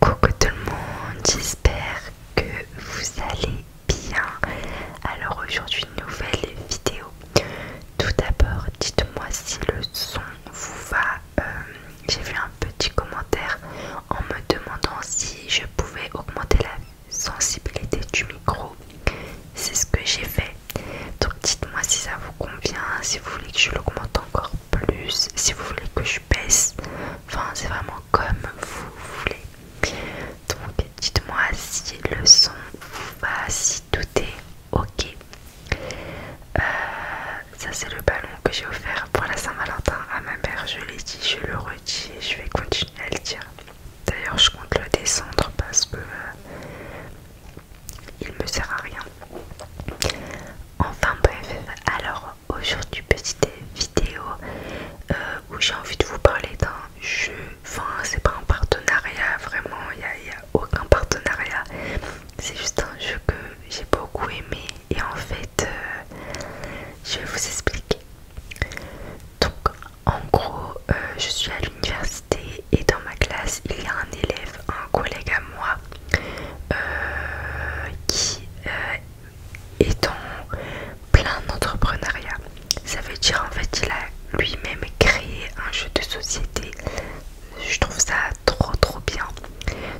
Coucou tout le monde, j'espère que vous allez bien. Alors aujourd'hui nouvelle vidéo. Tout d'abord, dites-moi si le son vous va. Euh, j'ai vu un petit commentaire en me demandant si je pouvais augmenter la sensibilité du micro. C'est ce que j'ai fait. Donc dites-moi si ça vous convient, si vous voulez que je l'augmente encore plus, si vous voulez que je baisse, enfin c'est vraiment comme vous voulez. Donc dites-moi si le son vous va, si tout est ok. Euh, ça c'est le ballon que j'ai offert pour la Saint-Valentin à ma mère, je l'ai dit, je le redis et je vais continuer à le dire. D'ailleurs je compte le descendre parce que... Euh, il me sert à rien. Enfin bref, alors aujourd'hui petite vidéo euh, où j'ai envie de vous parler d'un jeu, enfin c'est pas un partenariat vraiment, il n'y a, aucun partenariat, c'est juste un jeu que j'ai beaucoup aimé et en fait euh, je vais vous expliquer. Donc en gros euh, je suis à l'université et dans ma classe il y a un élève, un collègue à moi euh, qui euh, est en plein entrepreneuriat. Ça veut dire en fait il a lui-même créé un jeu de société. Je trouve ça trop trop bien.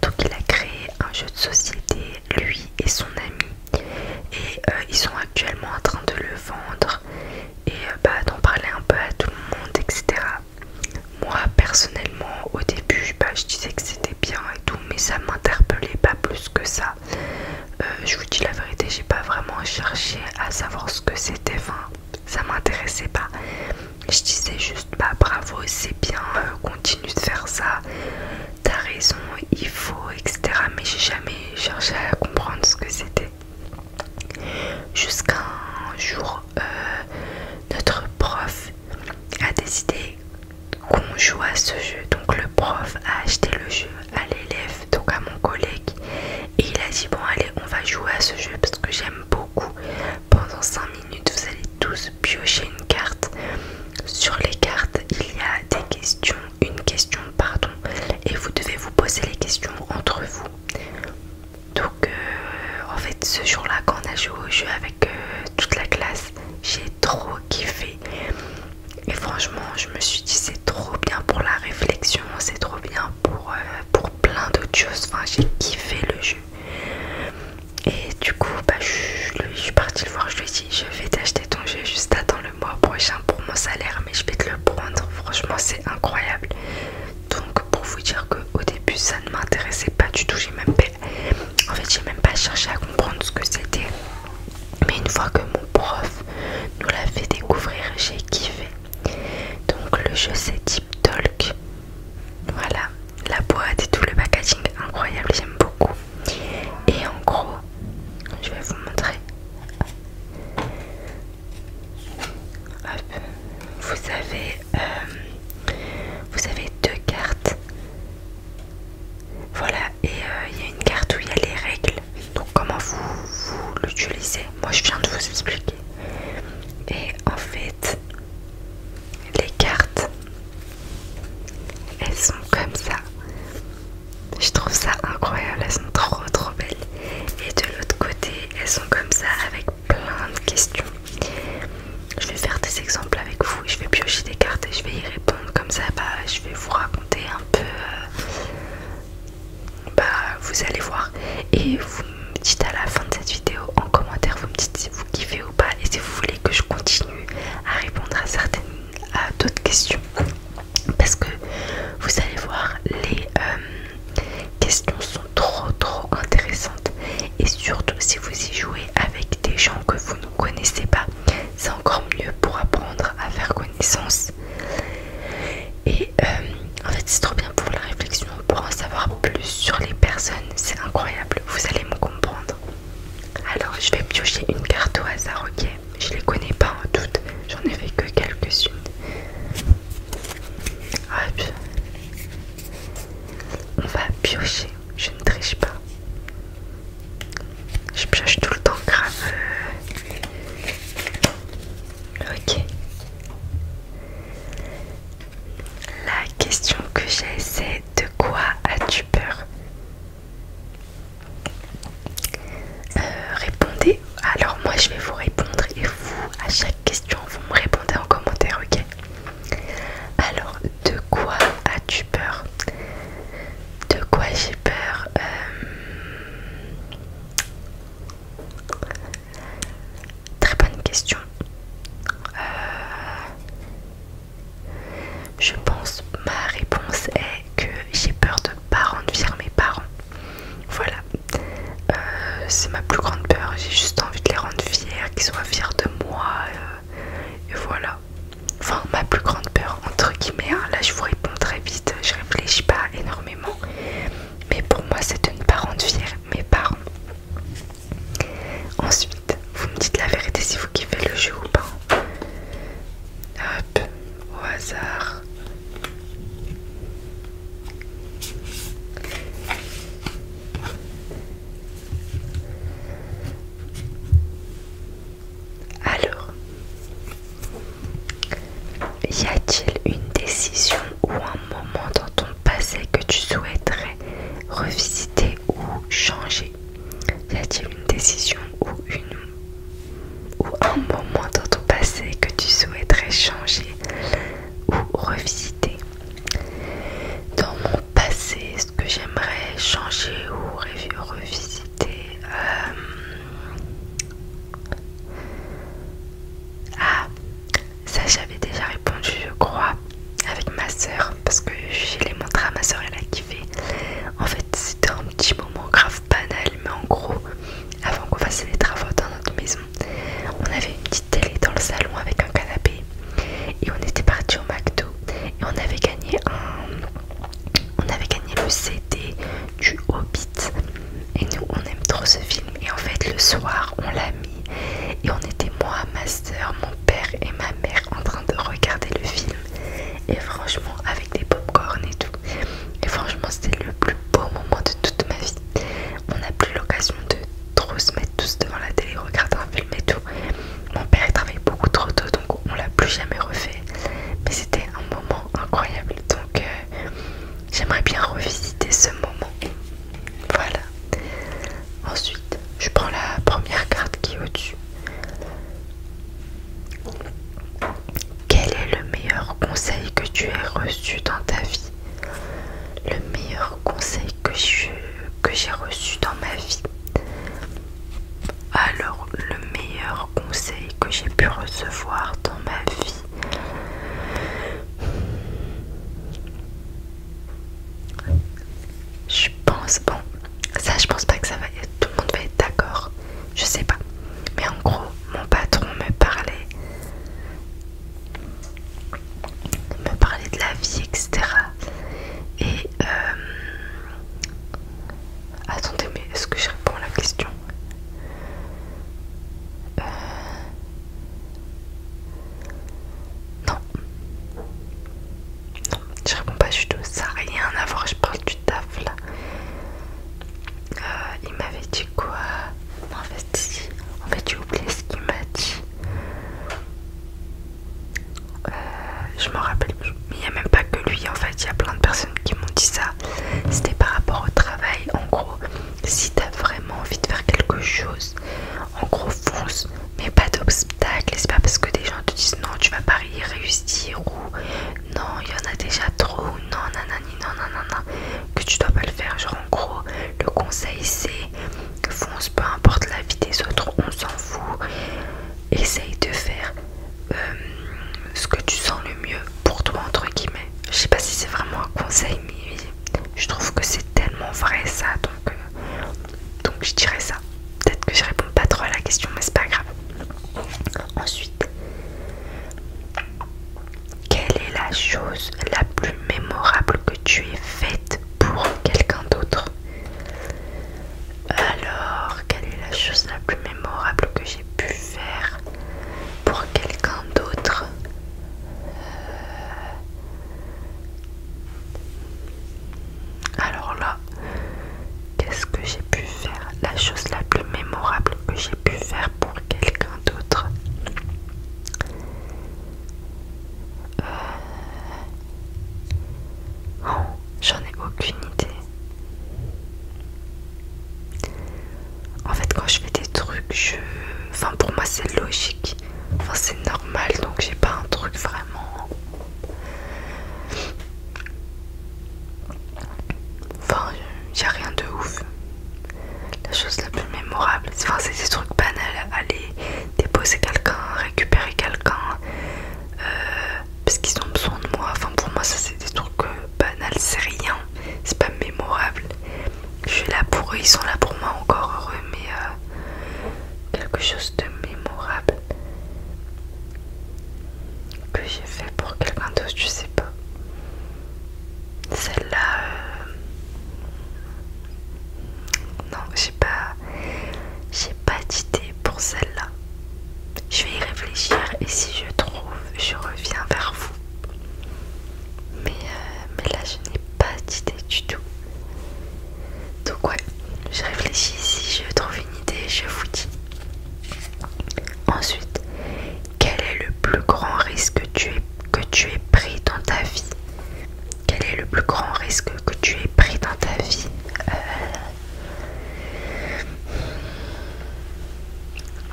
Donc il a créé un jeu de société, lui et son ami. Et euh, ils sont actuellement en train de le vendre et bah, d'en parler un peu à tout le monde, etc. Moi personnellement au début bah, je disais que c'était bien et tout mais ça m'interpellait pas plus que ça. Euh, je vous dis la vérité, j'ai pas vraiment cherché à savoir ce que c'était, enfin ça m'intéressait pas. Je disais juste bah bravo, c'est bien, euh, continue de faire ça, t'as raison, il faut, etc. Mais j'ai jamais cherché à comprendre ce que c'était. Jusqu'à un jour, euh, notre prof a décidé qu'on joue à ce jeu. Donc le prof a acheté le jeu à l'élève, donc à mon collègue. Et il a dit bon allez on va jouer à ce jeu parce que j'aime beaucoup. Pendant 5 minutes vous allez tous piocher une carte. Sur les cartes il y a des questions, une question pardon. Et vous devez vous poser les questions entre vous. Donc euh, en fait ce jour-là quand on a joué au jeu avec euh, toute la classe. J'ai trop kiffé. Et franchement, je me suis dit c'est trop bien pour la réflexion, c'est trop bien pour, euh, pour plein de choses. Enfin, j'ai kiffé le jeu. Et du coup, bah, je, suis parti le voir, je lui ai dit je vais t'acheter ton jeu, juste attends le mois prochain pour mon salaire, mais je vais te le prendre. Franchement, c'est incroyable. Donc pour vous dire que au début ça ne m'intéressait pas du tout, j'ai même en fait, j'ai même pas cherché à comprendre ce que c'était. Mais une fois que mon prof nous l'a fait découvrir, j'ai kiffé. Donc le jeu c'est type Talk. Voilà, la boîte et tout le packaging incroyable, j'aime beaucoup. Et en gros, je vais vous montrer. Vous avez euh, vous avez deux cartes. Voilà, et euh, il y a une carte où il y a les règles. Donc comment vous, vous l'utilisez Moi je viens de vous expliquer. Et en fait, les cartes, elles sont comme ça. Je trouve ça incroyable, elles sont trop trop belles. Et de l'autre côté, elles sont comme ça avec plein de questions. Je vais faire des exemples avec vous je vais piocher des cartes et je vais y répondre. Comme ça, bah, je vais vous raconter un peu. Euh, bah, vous allez voir. Et vous me dites à la fin de cette vidéo en commentaire, vous me dites si vous kiffez ou pas et si vous voulez que je continue à répondre à certaines, à d'autres questions. Parce que vous allez voir, les euh, questions sont trop trop intéressantes et surtout si vous y jouez avec des gens que vous ne connaissez pas c'est encore mieux pour apprendre à faire connaissance et euh, en fait c'est trop bien pour la réflexion pour en savoir plus sur les personnes c'est incroyable vous allez me comprendre alors je vais piocher une carte au hasard ok je les connais pas en toutes j'en ai fait que quelques-unes Hop. On va piocher, je ne triche pas. Je pioche tout le temps grave. Ok. La question que j'ai c'est de quoi as-tu peur euh, Répondez. Alors moi je vais vous répondre et vous à chaque question vous me répondez en commentaire, ok alors, de quoi as-tu peur De quoi j'ai peur euh, Très bonne question. Euh, je pense, ma réponse est que j'ai peur de ne pas rendre mes parents. Voilà. Euh, c'est ma plus grande peur, j'ai juste envie de les rendre fiers, qu'ils soient fiers de moi, euh, et voilà. Enfin, ma plus grande peur, entre guillemets, hein. là je vous réponds très vite, je réfléchis pas énormément, mais pour moi c'est de ne pas rendre fiers mes parents. Ensuite, vous me dites la vérité si vous kiffez le jeu ou pas. Hop, au hasard. Alors, y a-t-il une décision ou un moment dans ton passé que tu souhaiterais revisiter ou changer Y a-t-il une décision ou une ou un moment dans ton passé que tu souhaiterais changer ou revisiter dans mon passé, ce que j'aimerais changer ou revisiter. Euh, ah, ça j'avais déjà répondu, je crois, avec ma soeur, parce que je les montré à ma soeur, elle a kiffé. En fait, c'était un petit moment grave banal, mais en gros, avant qu'on fasse les travaux dans notre maison, on avait une petite télé dans le salon avec un canapé et on était parti au McDo et on avait gagné on avait gagné le CD du Hobbit et nous on aime trop ce film et en fait le soir on l'a mis et on était moi, ma soeur, mon père et ma mère en train de regarder le film et franchement avec des pop-corn et tout et franchement c'était le plus beau moment de toute ma vie on n'a plus l'occasion de trop se mettre tous devant la télé, regarder un film et tout. Mon père il travaille beaucoup trop tôt donc on l'a plus jamais refait. Mais c'était un moment incroyable donc euh, j'aimerais bien revisiter ce moment. Voilà. Ensuite, je prends la première carte qui est au-dessus. Quel est le meilleur conseil que tu aies reçu dans ta vie le meilleur conseil que j'ai que reçu dans ma vie. Alors, le meilleur conseil que j'ai pu recevoir dans ma vie. Je pense, bon, ça je pense pas que ça va tout le monde va être d'accord, je sais pas. Mais en gros, mon patron me parlait me parlait de la vie, etc. Et euh, attendez, mais est-ce que je réponds à la question euh, Non, non, je réponds pas du tout. Ça rien à voir. Je parle du taf là. Euh, il m'avait dit quoi En fait, si. En oublié ce qu'il m'a dit. Euh, je m'en rappelle Mais il n'y a même pas que lui. En fait, il y a plein de personnes qui m'ont dit ça. C'était par rapport au travail. En gros, si t'as vraiment envie de faire quelque chose, en gros, fonce. Mais pas d'obstacles. C'est pas parce que des gens te disent non, tu vas pas y réussir ou non, il y en a déjà trop ou non, nanani, non, non, non, non, que tu dois pas le faire. Genre, en gros, le conseil c'est fonce, peu importe la vie des autres, on s'en fout. Essaye de faire euh, ce que tu sens le mieux pour toi, entre guillemets. Je sais pas si c'est vraiment un conseil, mais je trouve que c'est tellement vrai ça, donc, euh, donc je dirais ça. Peut-être que je réponds pas trop à la question, mais c'est pas grave. Ensuite, quelle est la chose la plus mémorable que tu aies faite pour quelqu'un d'autre Alors, quelle est la chose la plus mémorable que j'ai pu faire pour quelqu'un d'autre euh, Alors là, qu'est-ce que j'ai pu faire La chose la plus mémorable que j'ai pu faire pour quelqu'un d'autre euh, j'en ai aucune idée. En fait, quand je fais des trucs, je. Enfin, pour moi, c'est logique. Enfin, c'est normal, donc j'ai pas un truc vraiment. Enfin, y'a a rien de ouf. La chose la plus mémorable, c'est des trucs banals, aller déposer quelqu'un, récupérer quelqu'un, euh, parce qu'ils ont besoin de moi. Enfin pour moi ça c'est des trucs euh, banals, c'est rien, c'est pas mémorable. Je suis là pour eux, ils sont là pour moi, encore heureux, mais euh, quelque chose de mémorable que j'ai fait pour quelqu'un d'autre, je sais pas. Celle-là... Euh, non, j'ai pas... J'ai pas d'idée pour celle-là. Je vais y réfléchir et si je trouve, je reviens vers vous. Mais, euh, mais là, je n'ai pas d'idée du tout. Donc ouais, je réfléchis. Si je trouve une idée, je vous dis. Ensuite, quel est le plus grand risque que tu, aies, que tu es pris dans ta vie Quel est le plus grand risque que tu aies pris dans ta vie euh,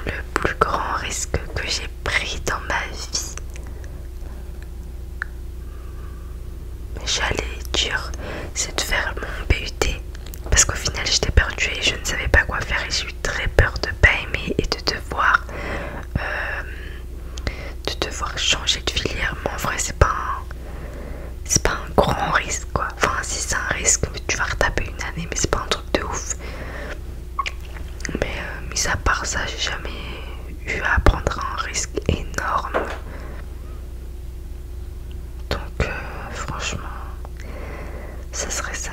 Le plus grand risque que j'ai pris dans ma vie J'allais dire, c'est de faire mon BUT parce qu'au final j'étais perdue et je ne savais pas quoi faire et j'ai eu très peur de pas aimer et de devoir de devoir euh, changer de filière mais en vrai c'est pas un, c'est pas un grand risque quoi enfin si c'est un risque tu vas retaper une année mais c'est pas un truc de ouf mais euh, mis à part ça j'ai jamais eu à prendre un risque énorme donc euh, franchement ça serait ça.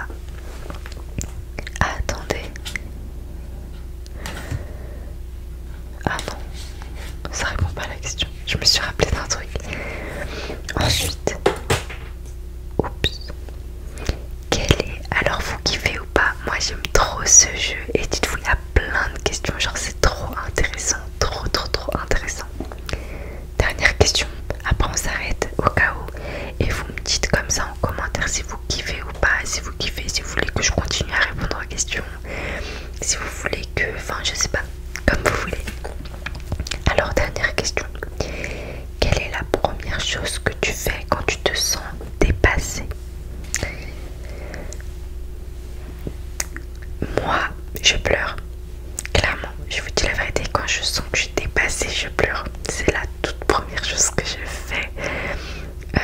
attendez. Ah non, ça répond pas à la question. Je me suis rappelé d'un truc. Ensuite, oups. Quel est alors vous kiffez ou pas Moi j'aime trop ce jeu et dites-vous il y a plein de questions. Genre c'est trop intéressant, trop trop trop intéressant. Dernière question. Après on s'arrête au cas où et vous me dites comme ça commentaire si vous kiffez ou pas, si vous kiffez, si vous voulez que je continue à répondre à questions, si vous voulez que, enfin je sais pas, comme vous voulez. Alors dernière question, quelle est la première chose que tu fais quand tu te sens dépassé Moi, je pleure. Clairement, je vous dis la vérité, quand je sens que je suis dépassée, je pleure. C'est la toute première chose que je fais, euh,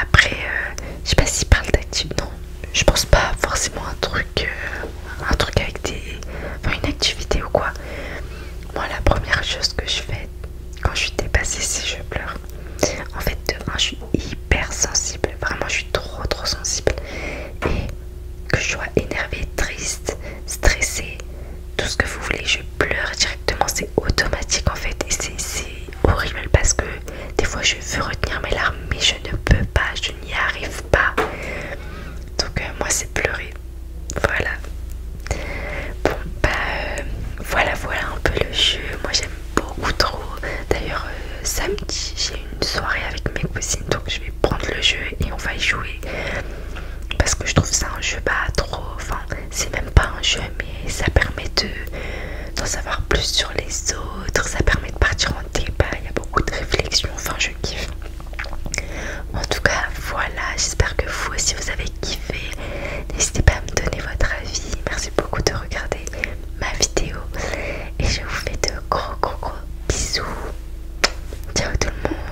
après, euh, je sais pas si parle d'activité Non, je pense pas forcément un truc, euh, un truc avec des, enfin une activité ou quoi. Moi, la première chose que je fais quand je suis dépassée, c'est je pleure. En fait, de je suis hyper sensible. Vraiment, je suis trop trop sensible et que je sois énervée, triste, stressé, tout ce que vous voulez, je pleure directement, c'est automatique en fait et c'est horrible parce que des fois je veux retenir mes larmes mais je ne peux pas, je n'y arrive pas. Donc euh, moi c'est pleurer. Voilà. Bon bah euh, voilà voilà un peu le jeu. Moi j'aime beaucoup trop. D'ailleurs euh, samedi j'ai une soirée avec mes cousines donc je vais prendre le jeu et on va y jouer parce que je trouve ça un jeu pas bah, trop, enfin c'est même pas un jeu mais ça permet d'en en savoir plus sur les autres, ça permet de partir en débat, il y a beaucoup de réflexions, enfin je kiffe. En tout cas voilà, j'espère que vous aussi vous avez kiffé, n'hésitez pas à me donner votre avis, merci beaucoup de regarder ma vidéo et je vous fais de gros gros gros bisous, ciao tout le monde.